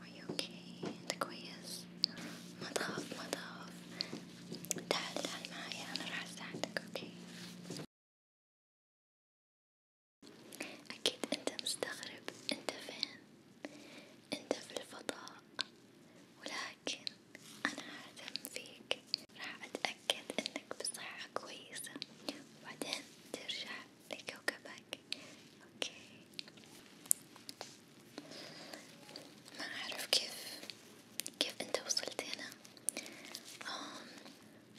Are you okay? انت كويس؟ ما تخاف ما تخاف تعال تعال معايا انا راح اساعدك اوكي؟ اكيد انت مستغرب انت فين؟ انت في الفضاء ولكن انا ههتم فيك راح اتأكد انك بصحة كويسة وبعدين ترجع لكوكبك اوكي ما أعرف كيف كيف أنت وصلت هنا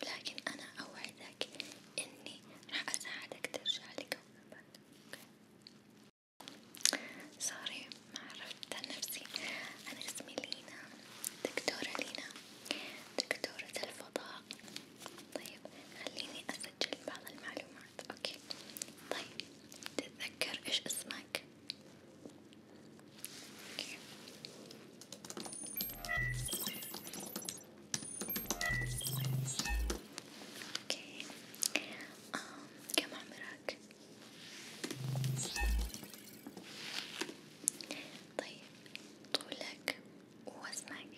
لكن أنا أوعدك إني راح أساعدك ترجع لكوكبك سوري ما عرفت عن نفسي أنا اسمي لينا دكتورة لينا دكتورة الفضاء طيب خليني أسجل بعض المعلومات بعد اوكي طيب تتذكر ايش اسمك؟ اوكي اوكي آه، كم عمرك؟ طيب طولك ووزنك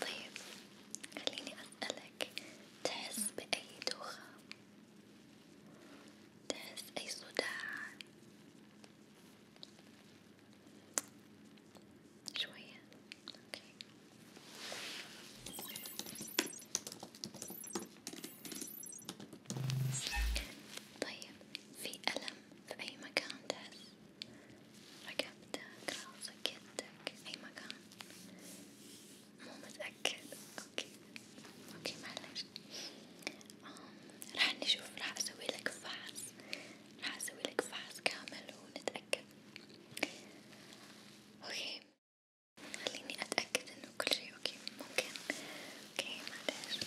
طيب خليني أسألك تحس بأي دوخة؟ تحس أي صداع؟ شوية أوكي طيب في ألم في أي مكان تحس رقبتك راسك يدك أي مكان مو متأكد أوكي أوكي معلش راح نشوف راح أسوي لك فحص راح أسوي لك فحص كامل ونتأكد أوكي خليني أتأكد إنه كل شي أوكي ممكن أوكي معلش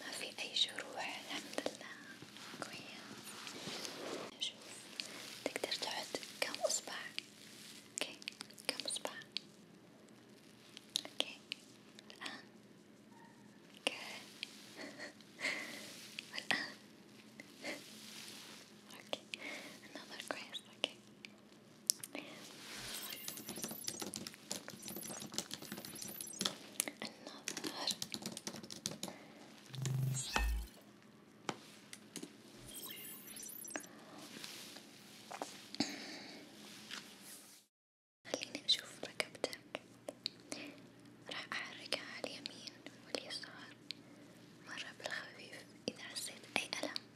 ما في أي جروح الحمد لله كويس شوف تقدر تحط كم أصبع اوكي كم أصبع اوكي الآن والآن اوكي النظر كويس اوكي النظر خليني أشوف ركبتك راح أحركها على اليمين واليسار مرة بالخفيف إذا حسيت أي ألم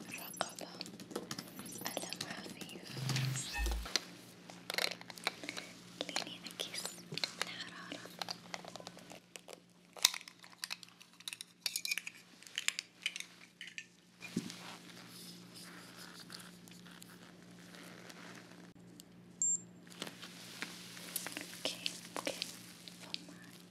الرقبة ألم خفيف ليني أكيس الحرارة اوكي اوكي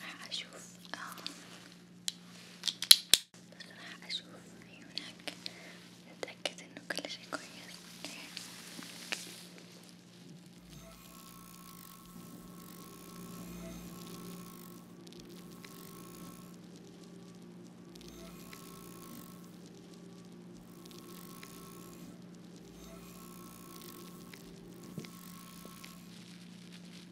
راح أشوف آه بس راح أشوف عيونك أتأكد إنه كل شي كويس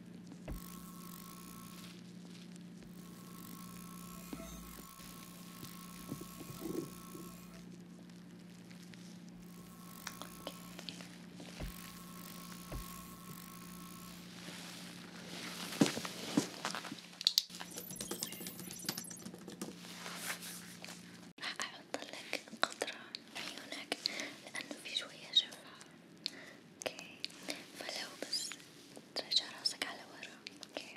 راح أحط لك قطرة عيونك لأنه في شوية شفا اوكي فلو بس ترجع راسك على ورا اوكي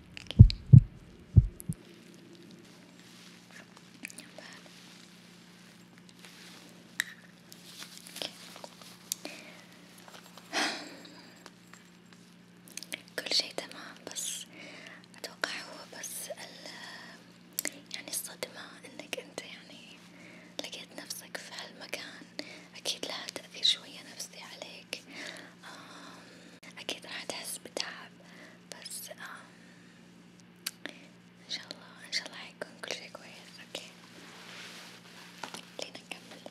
كل شي تمام بس أتوقع هو بس ال يعني الصدمة إنك أنت يعني لقيت نفسك في هالمكان أكيد لها تأثير شوية نفسي عليك آه، أكيد راح تحس بتعب بس آه، إن شاء الله إن شاء الله حيكون كل شي كويس أوكي خلينا نكمل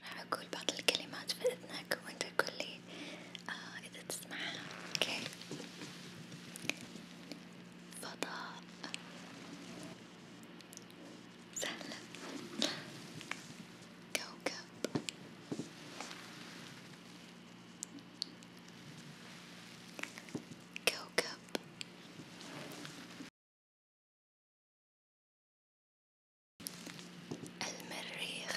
راح أقول بعض الكلمات في إذنك وأنت قولي آه إذا تسمعها أوكي فضاء سهلا كوكب كوكب المريخ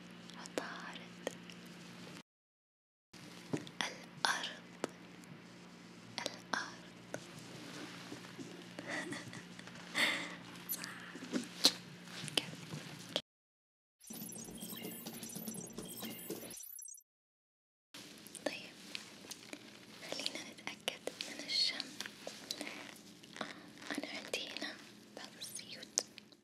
وطارت الأرض الأرض صح طيب خلينا نتأكد من الشم أنا عندي هنا بعض الزيوت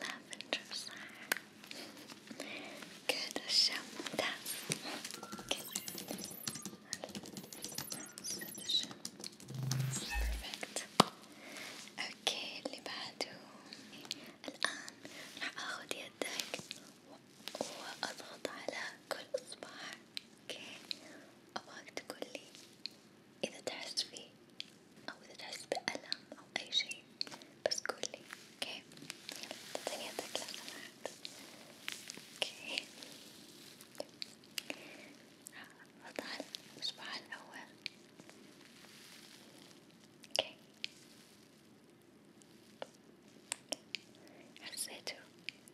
lavender صح كده الشم ممتاز كده الشم perfect اوكي اللي بعده الآن راح آخد يدك وأضغط على كل إصبع اوكي أبغاك تقولي إذا تحس فيه أو إذا تحس بألم أو أي شي بس قولي أوكي يلا تعطيني يدك لو سمحت أوكي وضع الإصبع الأول أوكي حسيته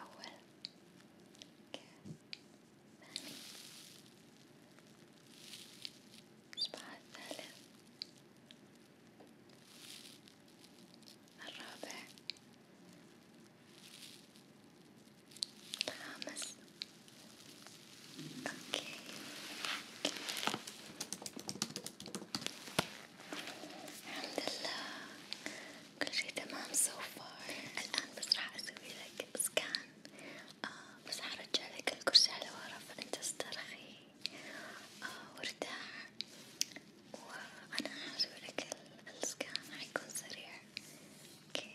أول كاس ثاني الصباح الثالث الرابع الخامس اوكي الحمد لله كل شي تمام so far الآن بس راح أسوي لك سكان آه بس حرجع لك الكرسي على ورا فأنت استرخي آه وارتاح وأنا حاسوي لك السكان حيكون سريع اوكي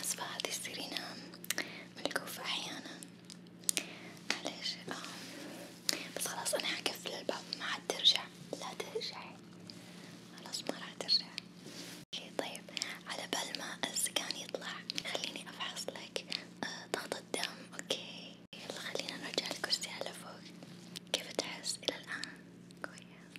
أسفة هذه السيرينا ملكوفة أحيانا معلش آه، بس خلاص أنا حقفل الباب ما عاد ترجع لا ترجعي خلاص ما راح ترجع طيب على بال ما السكان يطلع خليني أفحص لك آه، ضغط الدم أوكي يلا خلينا نرجع الكرسي على فوق كيف تحس إلى الآن؟ كويس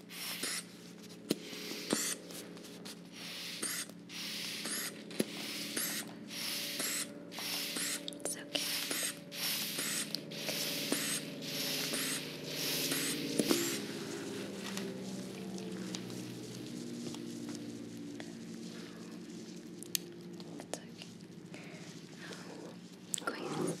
It's okay. It's okay. Great. Okay.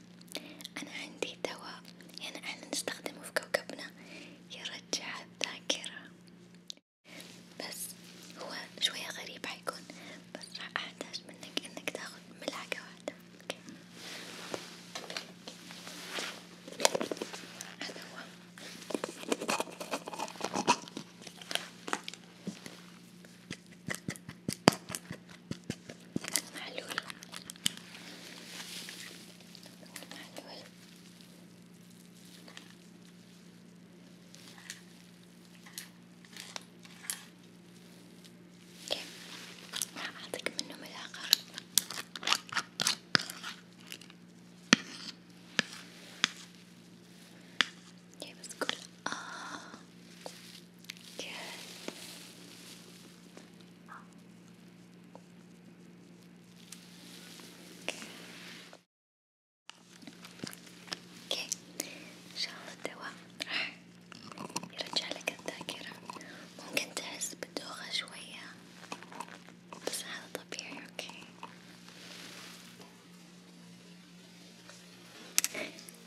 فجأة أنا عندي دواء يعني أحنا نستخدمه في كوكبنا يرجع الذاكرة بس هو شوية غريب حيكون بس راح أحتاج منك إنك تاخد ملعقة واحدة أوكي هذا هو معلول معلول اوكي راح اعطيك منه ملاعقة اوكي بس قول اه اوكي اوكي ان شاء الله الدواء راح يرجع لك الذاكرة ممكن تحس بدوخة شوية بس هذا طبيعي اوكي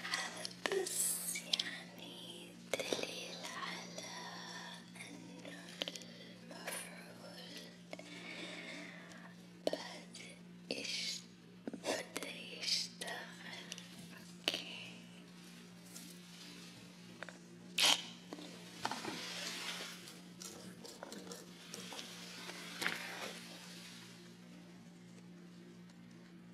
هذا بس يعني دليل على أن المفعول بدأ يشتغل أوكي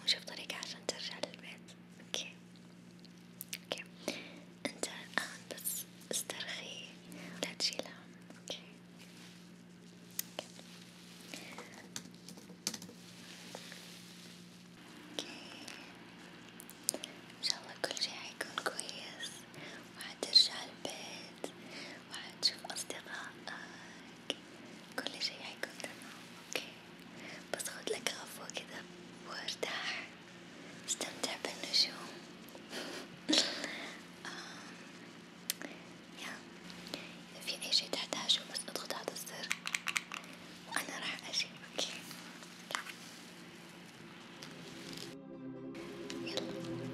ونشوف طريقة عشان ترجع للبيت اوكي اوكي انت الان بس استرخي لا تشيل هم اوكي اوكي ان شاء الله كل شي حيكون كويس وحترجع البيت البيت وحتشوف أصدقائك كل شي حيكون تمام اوكي بس خدلك غفوة كذا وارتاح استمتع بالنجوم يا إذا في أي شي تحتاجه بس اضغط هذا الزر وأنا راح أجي اوكي يلا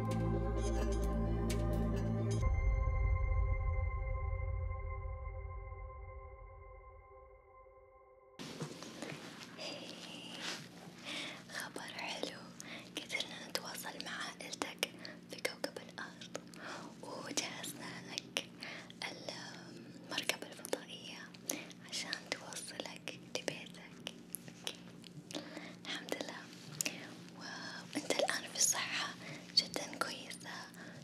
خبر حلو قدرنا نتواصل مع عائلتك في كوكب الأرض وجهزنا لك المركبة الفضائية عشان توصلك لبيتك أوكي الحمد لله وانت الآن في صحة جدا كويسة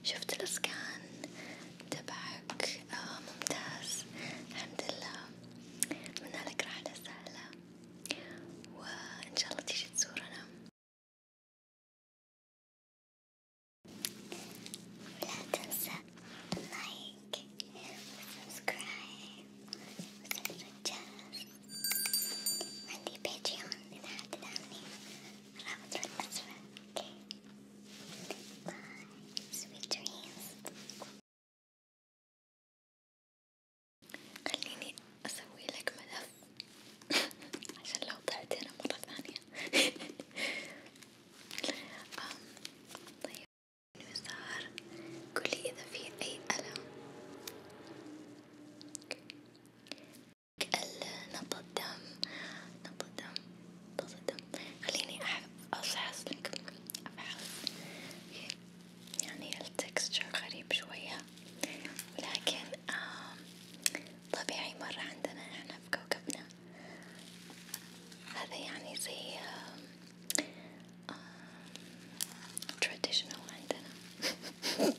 شفت الاسكان تبعك آه ممتاز الحمد لله أتمنى لك رحلة سهلة وان شاء الله تيجي تزورنا ولا تنسى لايك وسبسكرايب وتفعيل الجرس عندي باتريون إذا حد دعمني رابط في الأسفل اوكي باي سويت دريمز خليني أسوي لك ملف عشان لو ضعت هنا مرة ثانية طيب مسار قولي إذا في أي ألم نبض الدم نبض الدم نبض الدم خليني أفحص لك أفحص يعني التكستشر غريب شوية ولكن آه طبيعي مرة عندنا احنا في كوكبنا هذا يعني زي آه آه traditional عندنا